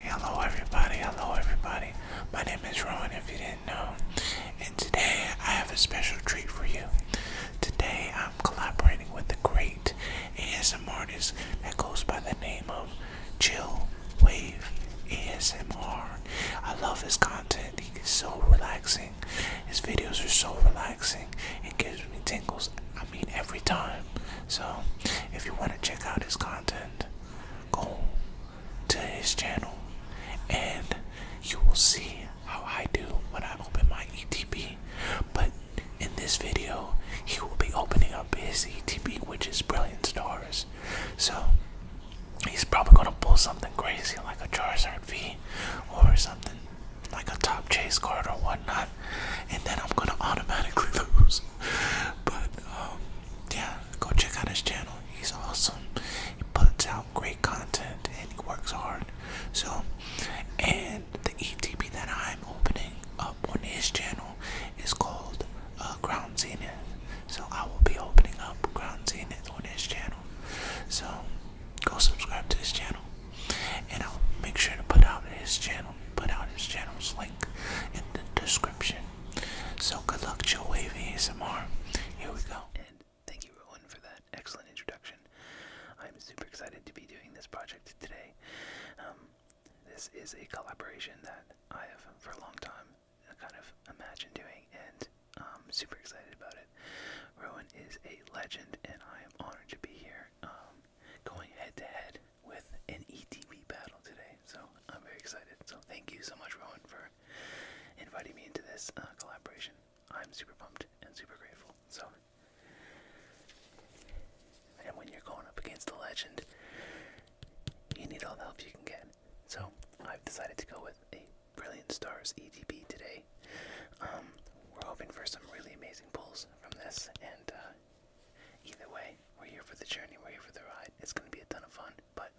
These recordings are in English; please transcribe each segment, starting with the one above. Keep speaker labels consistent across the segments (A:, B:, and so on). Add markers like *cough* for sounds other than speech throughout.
A: Hello everybody, hello everybody. My name is Rowan if you didn't know. And today I have a special treat for you. Today I'm collaborating with the great ASM artist that goes by the name of Chill Wave ASMR. I love his content. He's so relaxing. His videos are so relaxing. It gives me tingles, I mean every time. So if you want to check out his content, go to his channel and you will see how I do when I open my ETP. But in this video, he will be opening up his ETP, which is Brilliant Stars. So he's probably going to pull something crazy like a Charizard V or something like a top chase card or whatnot, and then I'm going to automatically *laughs* lose. But um, yeah, go check out his channel. He's awesome. He puts out great content and he works hard. So, and the ETP that I'm opening up on his channel is called uh, Ground Zenith. So I will be opening up Ground Zenith on his channel. So go subscribe to his channel, and I'll make sure to put out his channel Put out his channel's link in the description. So good luck, Joe Wave ASMR. Here we go. And thank you, Rowan, for that excellent introduction.
B: I'm super excited to be doing this project today. Um, this is a collaboration that I have for a long time kind of imagined doing, and super excited about it. Rowan is a legend, and I am honored to be here um, going head to head with an ETV battle today. So I'm very excited. So thank you so much, Rowan, for inviting me into this uh, collaboration. I'm super pumped and super grateful. So, and when you're going up against a legend, you need all the help you can get. So I've decided to go with a Brilliant Stars ETV today. Um, we're hoping for some really amazing pulls from this, and uh, Either way, we're here for the journey, we're here for the ride. It's gonna be a ton of fun, but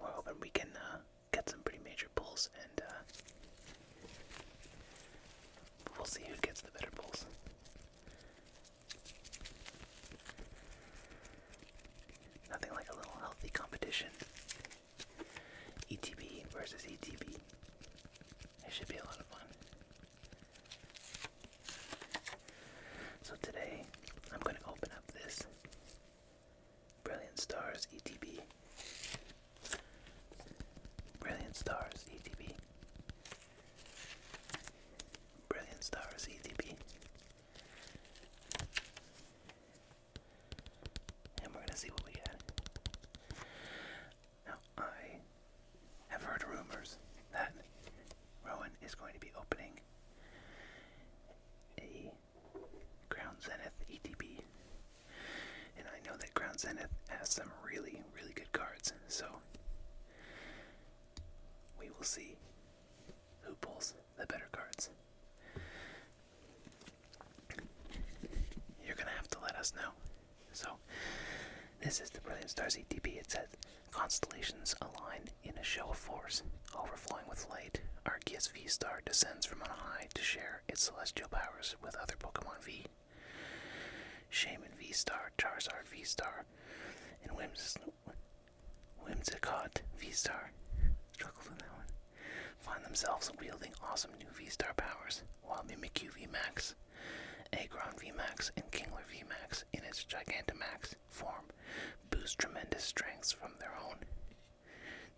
B: we're hoping we can uh, get some pretty major pulls, and uh, we'll see who gets the better pulls. Nothing like a little healthy competition. ETB versus ETB. It should be a lot of fun. So today, I'm going to open up this Brilliant Stars ETB. Brilliant Stars ETB. Brilliant Stars ETB. And we're going to see what we get. Now, I have heard rumors that Rowan is going to be opening a Crown Zenith ETB. And I know that Crown Zenith has some really, really good cards, so we will see who pulls the better cards you're gonna have to let us know. So, this is the Brilliant Star ETP. It says constellations align in a show of force, overflowing with light. Arceus V Star descends from on high to share its celestial powers with other Pokemon V. Shaman V Star, Charizard V Star, and Whims Whimsicott V Star. struggles with that one find themselves wielding awesome new V-Star powers, while the v McQ VMAX, V-Max, and Kingler V-Max in its Gigantamax form boost tremendous strengths from their own.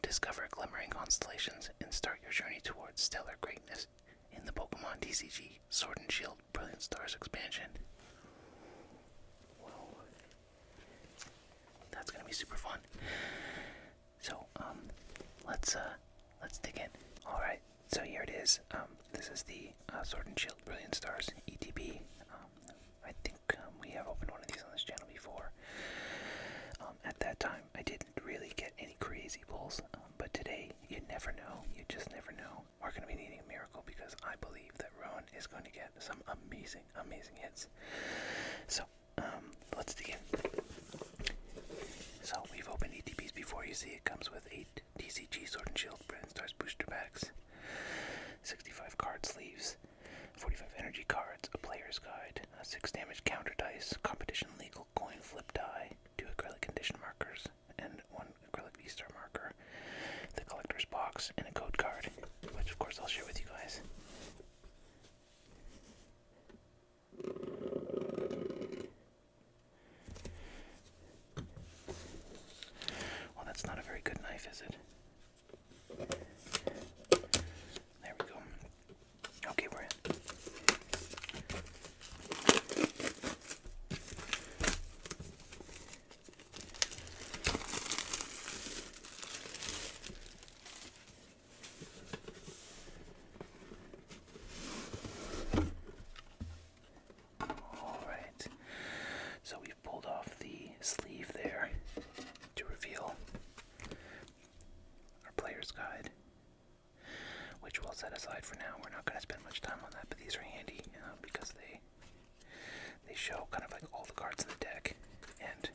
B: Discover glimmering constellations and start your journey towards stellar greatness in the Pokemon TCG Sword and Shield Brilliant Stars expansion. That's gonna be super fun. So um, let's uh, let's dig in. All right, so here it is. Um, this is the uh, Sword and Shield Brilliant Stars ETB. Um, I think um, we have opened one of these on this channel before. Um, at that time, I didn't really get any crazy pulls, um, but today you never know. You just never know. We're going to be needing a miracle because I believe that Rowan is going to get some amazing, amazing hits. So um, let's dig So we've opened ETBs before. You see, it comes with eight TCG Sword and Shield Brand Stars booster packs, 65 card sleeves, 45 energy cards, a player's guide, a six damage counter dice, competition legal coin flip die, two acrylic condition markers, and one acrylic V Star marker, the collector's box, and a code card, which of course I'll share with you guys. Well, that's not a very good knife, is it? There we go. Okay, we're in. Alright, so we've pulled off the sleeve there to reveal our player's guide, which we'll set aside for now. We're not going to spend much time on that, but these are handy uh, because they they show kind of like all the cards in the deck and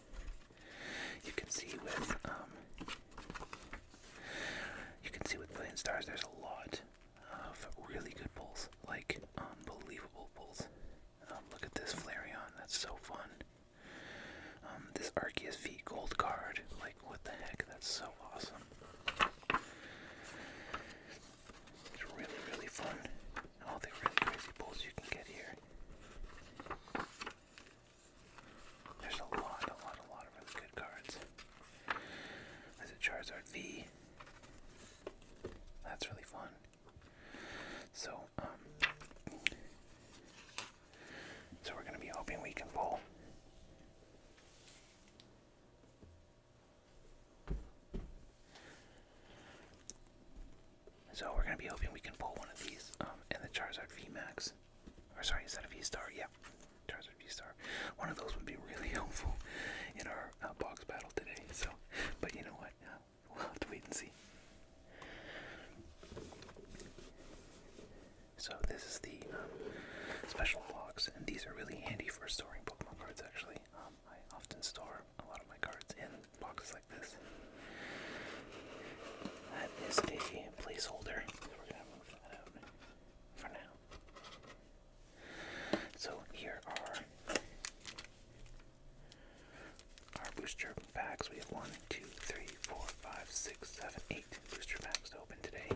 B: you can see with um, you can see with Brilliant Stars, there's a lot of really good pulls, like unbelievable pulls. Um, look at this Flareon, that's so fun. Um, this Arceus V Gold card, like what the heck, that's so awesome. It's really, really fun. All the crazy pulls you can get here. There's a lot, a lot, a lot of really good cards. There's a Charizard V. That's really fun. So, um, so we're gonna be hoping we can pull. So we're gonna be hoping we can pull one of these, um, and the Charizard VMAX. Or sorry, is that a V Star? Yeah, Charizard V Star. One of those would be really *laughs* helpful in our uh, box battle today. So, but you know what? we'll have to wait and see. So this is the um, special box, and these are really handy for storing Pokemon cards. Actually, um, I often store a lot of my cards in boxes like this. That is a placeholder. for now. So here are our booster packs. We have one, two, three, four, five, six, seven, eight booster packs to open today.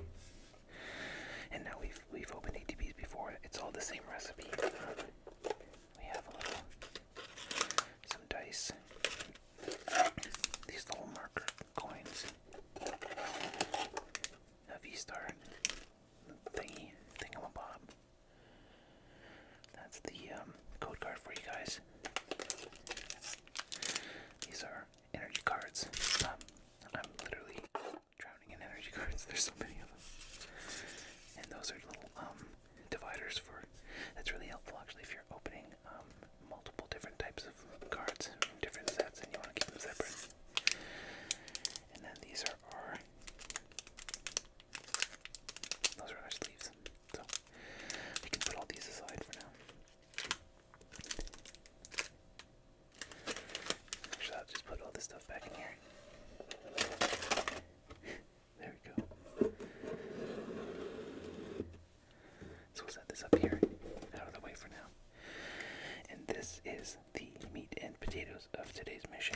B: And now we've we've opened ATBs before. It's all the same recipe. We have a little some dice. These little marker coins. A V-Star thingy, thingamabob. That's the um, code card for you guys. These are energy cards. Um, I'm literally drowning in energy *laughs* cards. There's so many of them. And those are little um, dividers for. That's really helpful actually if you're opening um, multiple different types of cards from different sets and you want to keep them separate. And then these are our. Those are our sleeves. So we can put all these aside for now. Actually, I'll just put all this stuff back in here. There we go. So we'll set this up here, out of the way for now. And this is the meat and potatoes of today's mission.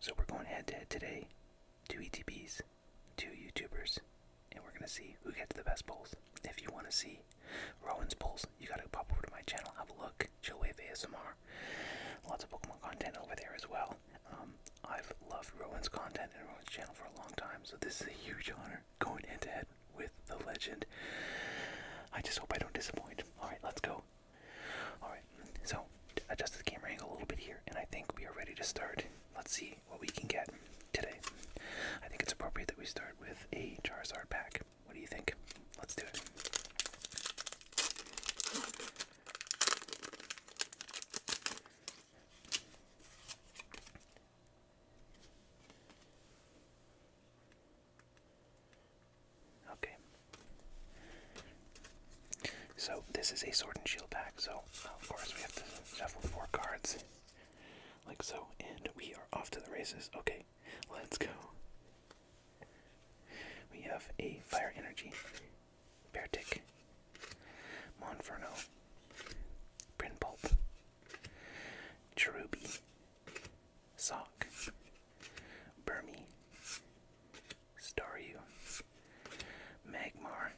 B: So we're going head to head today. Two ETBs, two YouTubers, and we're gonna see who gets the best bowls. If you wanna see Rowan's bowls, you gotta pop over to my channel, have a look. Chill ASMR. Lots of Pokemon content over there as well. Um, I've loved Rowan's content and Rowan's channel for a long time, so this is a huge honor going head to head with the legend. I just hope I don't disappoint. Alright, let's go. Alright, so adjust the camera angle a little bit here, and I think we are ready to start. Let's see what we can get today. I think it's appropriate that we start with a Charizard pack. What do you think? Let's do it. Okay. So this is a sword and shield pack, so of course we have to shuffle four cards. Like so, and we are off to the races. Okay, let's go. We have a Fire Energy, Beartick, Monferno, Prinpulp, Cherubi, Sock, Burmy, Staryu, Magmar,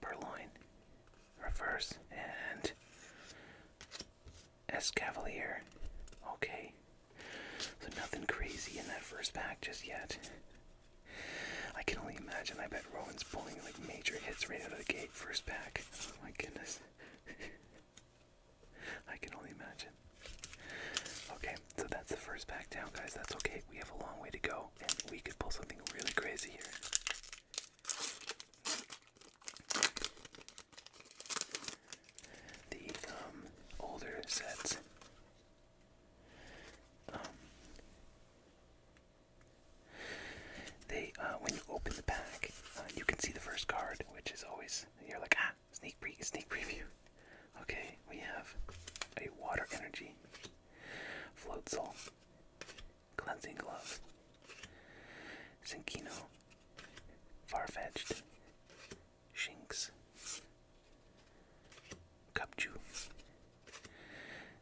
B: Purloin, Reverse, and S Cavalier. Okay. So nothing crazy in that first pack just yet. I can only imagine. I bet Rowan's pulling like major hits right out of the gate first pack. Oh my goodness. *laughs* I can only imagine. Okay, so that's the first pack down, guys. That's okay. We have a long way to go, and we could pull something really crazy here the um, older sets. Um, they, uh, when you open the pack, uh, you can see the first card, which is always you're like ah sneak pre sneak preview. Okay, we have a water energy, floatzel soul, cleansing glove, Zinkino, far fetched, Shinx, Cupju,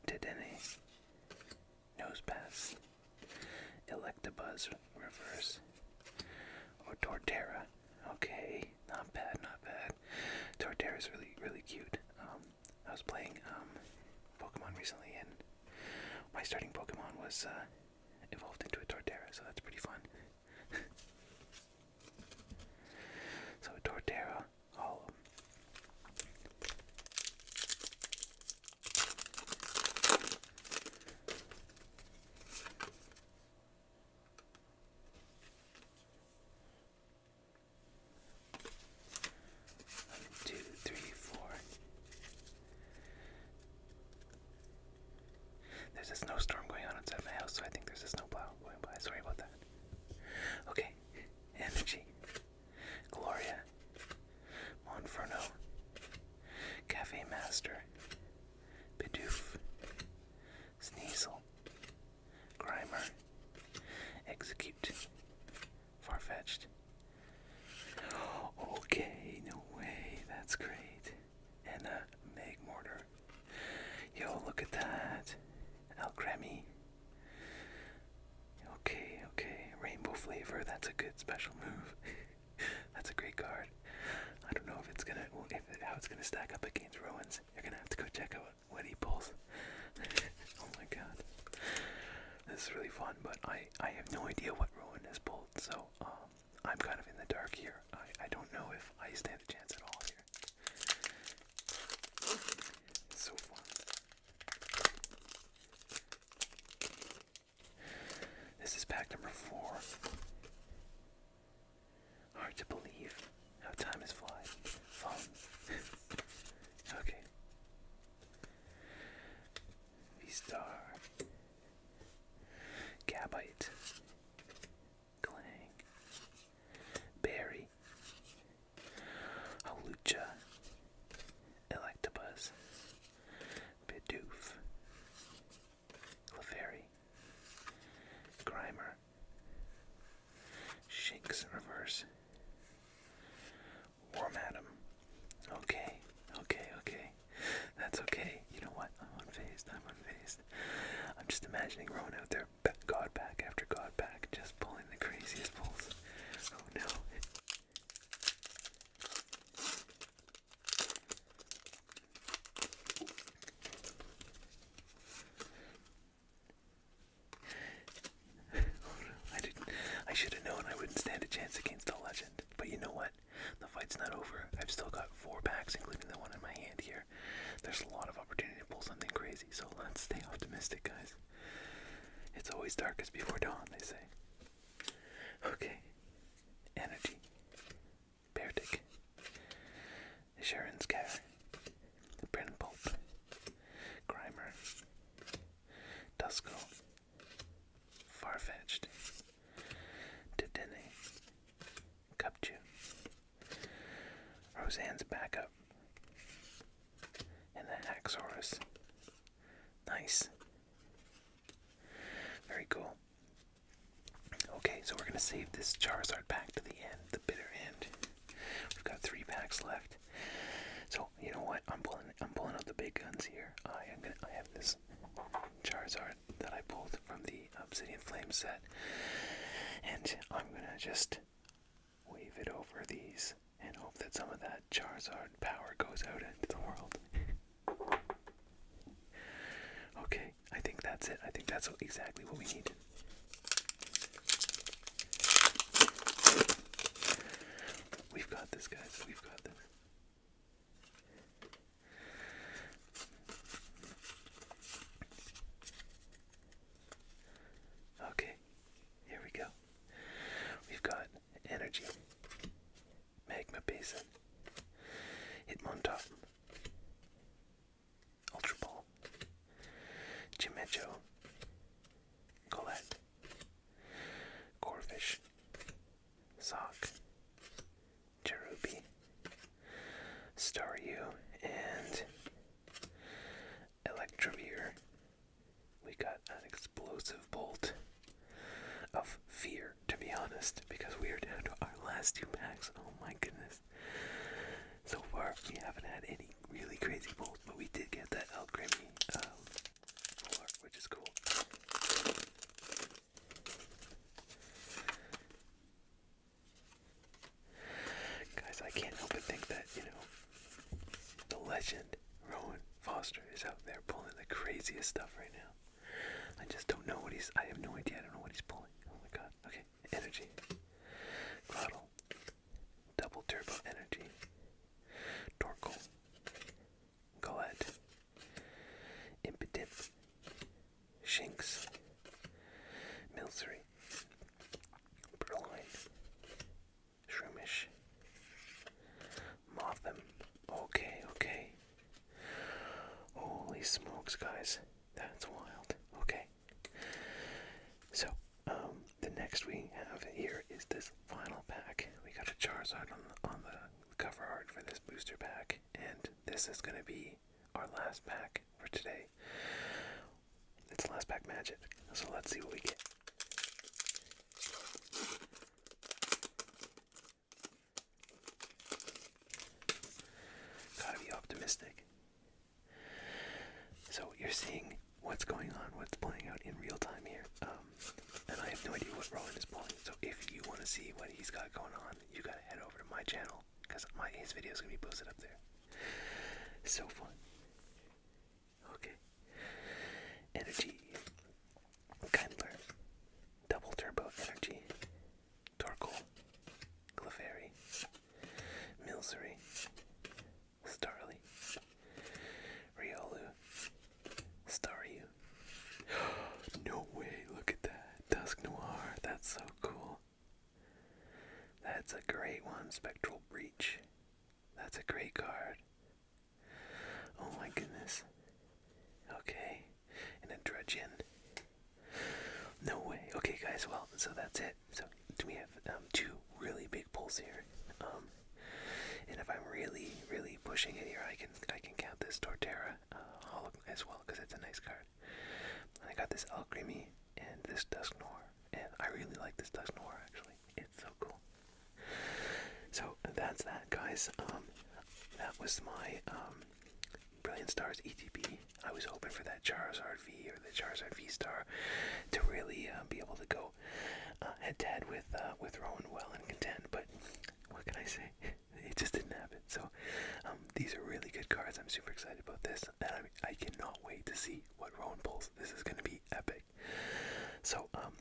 B: Dedenne, Nosepass, Electabuzz Reverse, or Torterra. Okay, not bad, not bad. Torterra is really, really cute. Um, I was playing um, Pokemon recently, and my starting Pokemon was uh, evolved into a Torterra, so that's pretty fun. *laughs* so a Torterra Hollow. One, two, three, four. There's a snowstorm going on outside my house, so I think there's a snowplow going by. Sorry about that. Okay, *laughs* energy. Gloria. Monferno. Cafe Master. Bidoof. Sneasel. Grimer. Execute. Farfetched. Okay, no way, that's great. And a Meg Mortar. Yo, look at that. Al Grammy. Okay, okay. Rainbow flavor, that's a good special move. *laughs* that's a great card. I don't know if it's gonna how it's gonna stack up against Rowan's. You're gonna have to go check out what he pulls. *laughs* oh my god. This is really fun, but I I have no idea what Rowan has pulled, so um, I'm kind of in the dark here. I, I don't know if I stand a chance at all here. So far. This is pack number four. Hard to believe how time has fly. *laughs* okay. V star. Gabite, Glang, Berry, Halucha, Electabuzz, Bidoof, Clefairy, Grimer, Shinx Reverse, War Madam. Okay, okay, okay. That's okay. You know what? I'm unfazed. I'm unfazed. I'm just imagining Rowan out there, god back after god back, just pulling the craziest pulls. Oh no. *laughs* Oh, I didn't. I should have known I wouldn't stand a chance against a legend. But you know what? The fight's not over. I've still got four packs, including the one in my hand here. There's a lot of opportunity to pull something crazy, so let's stay optimistic, guys. It's always darkest before dawn, they say. Okay. Energy. Beardick. Sharon's Care. Brin Pulp. Grimer. Dusko. Farfetched. Didene. Cupchew. Roseanne's backup. And the Haxorus. Nice. Very cool. Okay, so we're going to save this Charizard pack to the end, the bitter end. We've got three packs left. So, you know what? I'm pulling I'm pulling out the big guns here. I am gonna. I have this Charizard that I pulled from the Obsidian Flame set, and I'm gonna just wave it over these and hope that some of that Charizard power goes out into the world. *laughs* okay, I think that's it. I think that's exactly what we need. We've got this, guys. We've got this. Okay, here we go. We've got energy, magma basin, Hitmontop, Ultra Ball, Chimecho, Colette, Corfish, Sock, Cherubi, Staryu, and Electrovere. We got an explosive bolt of fear, to be honest, because we are down to our last two packs. Oh my goodness. So far, we haven't had any really crazy bolts, but we did get that El which is cool. Guys, I can't help but think that, you know, the legend Rowan Foster is out there pulling the craziest stuff right now. I just don't know what he's, I have no idea, I don't know what he's pulling. Oh my god, okay, energy. Cloudle, double turbo energy, Torkoal, Goad, Impidimp, Shinx, Milsery, Purloin, Shroomish, Motham. Okay, okay. Holy smokes, guys. That's wild. Okay. So, um, the next we have here is this final pack. We got a Charizard on the, on the cover art for this booster pack, and this is going to be our last pack for today. It's last pack magic, so let's see what we get. Gotta be optimistic. So, you're seeing what's going on, what's playing out in real time here. Um, and I have no idea what Rowan is pulling. So if you want to see what he's got going on, you gotta head over to my channel because my his video is gonna be posted up there. So fun. Okay. Energy. Kindler. Double turbo energy. Torkoal. Clefairy. Milsery. Starly, Riolu, Staryu. *gasps* no way, look at that. Dusk Noir, that's so cool. That's a great one, Spectral Breach. That's a great card. Oh my goodness. Okay, and a Dredge in. No way. Okay, guys, well, so that's it. So we have um, two really big pulls here, um, and if I'm really, really pushing it here, I can I can count this Torterra uh, as well because it's a nice card. And I got this Alcremie and this Dusknoir, and I really like this Dusknoir actually. It's so cool. So that's that, guys. Um, that was my Brilliant Stars ETP. I was hoping for that Charizard V or the Charizard V Star to really uh, be able to go go uh, with uh, with Rowan well and content. But what can I say? *laughs* It just didn't happen. So um, these are really good cards. I'm super excited about this, and I, cannot wait to see what Rowan pulls. This is going to be epic. So um,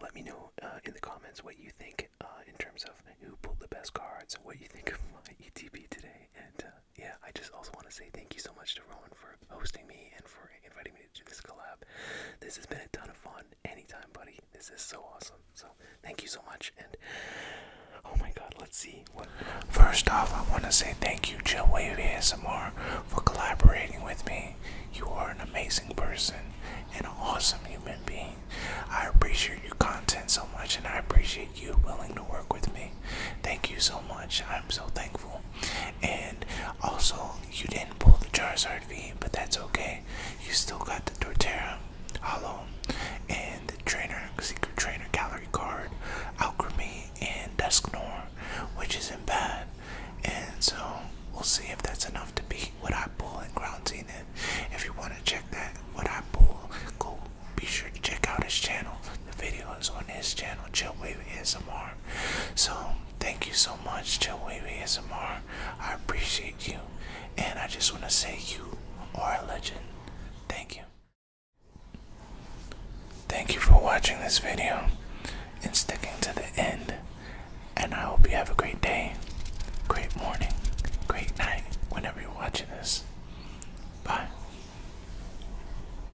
B: let me know uh, in the comments what you think uh, in terms of who pulled the best cards, what you think *laughs* of my ETP today, and yeah, I just also want to say thank you so much to Rowan for hosting me and for inviting me to this collab. This has been a ton of fun. Anytime, buddy. This is so
A: awesome. So thank you so much. And oh my God, let's see. First off, I want to say thank you, Jill Wave ASMR, for collaborating with me. You are an amazing person and an awesome human being. I appreciate your content so much, and I appreciate you willing to work with me. Thank you so much. I'm so thankful. And also, you didn't pull the Charizard V, but that's okay. You still got the Torterra, Hollow, and the Trainer, Secret Trainer Gallery card, Alchemy, and Dusknor, which isn't bad. And so, we'll see if that's enough to beat what I pull in Ground Zenith. If you want to check that, what I pull, go be sure to check out his channel. The videos on his channel, Chillwave ASMR. So thank you so much, to Wavy ASMR. I appreciate you, and I just want to say you are a legend. Thank you. Thank you for watching this video and sticking to the end. And I hope you have a great day, great morning, great night whenever you're watching this. Bye.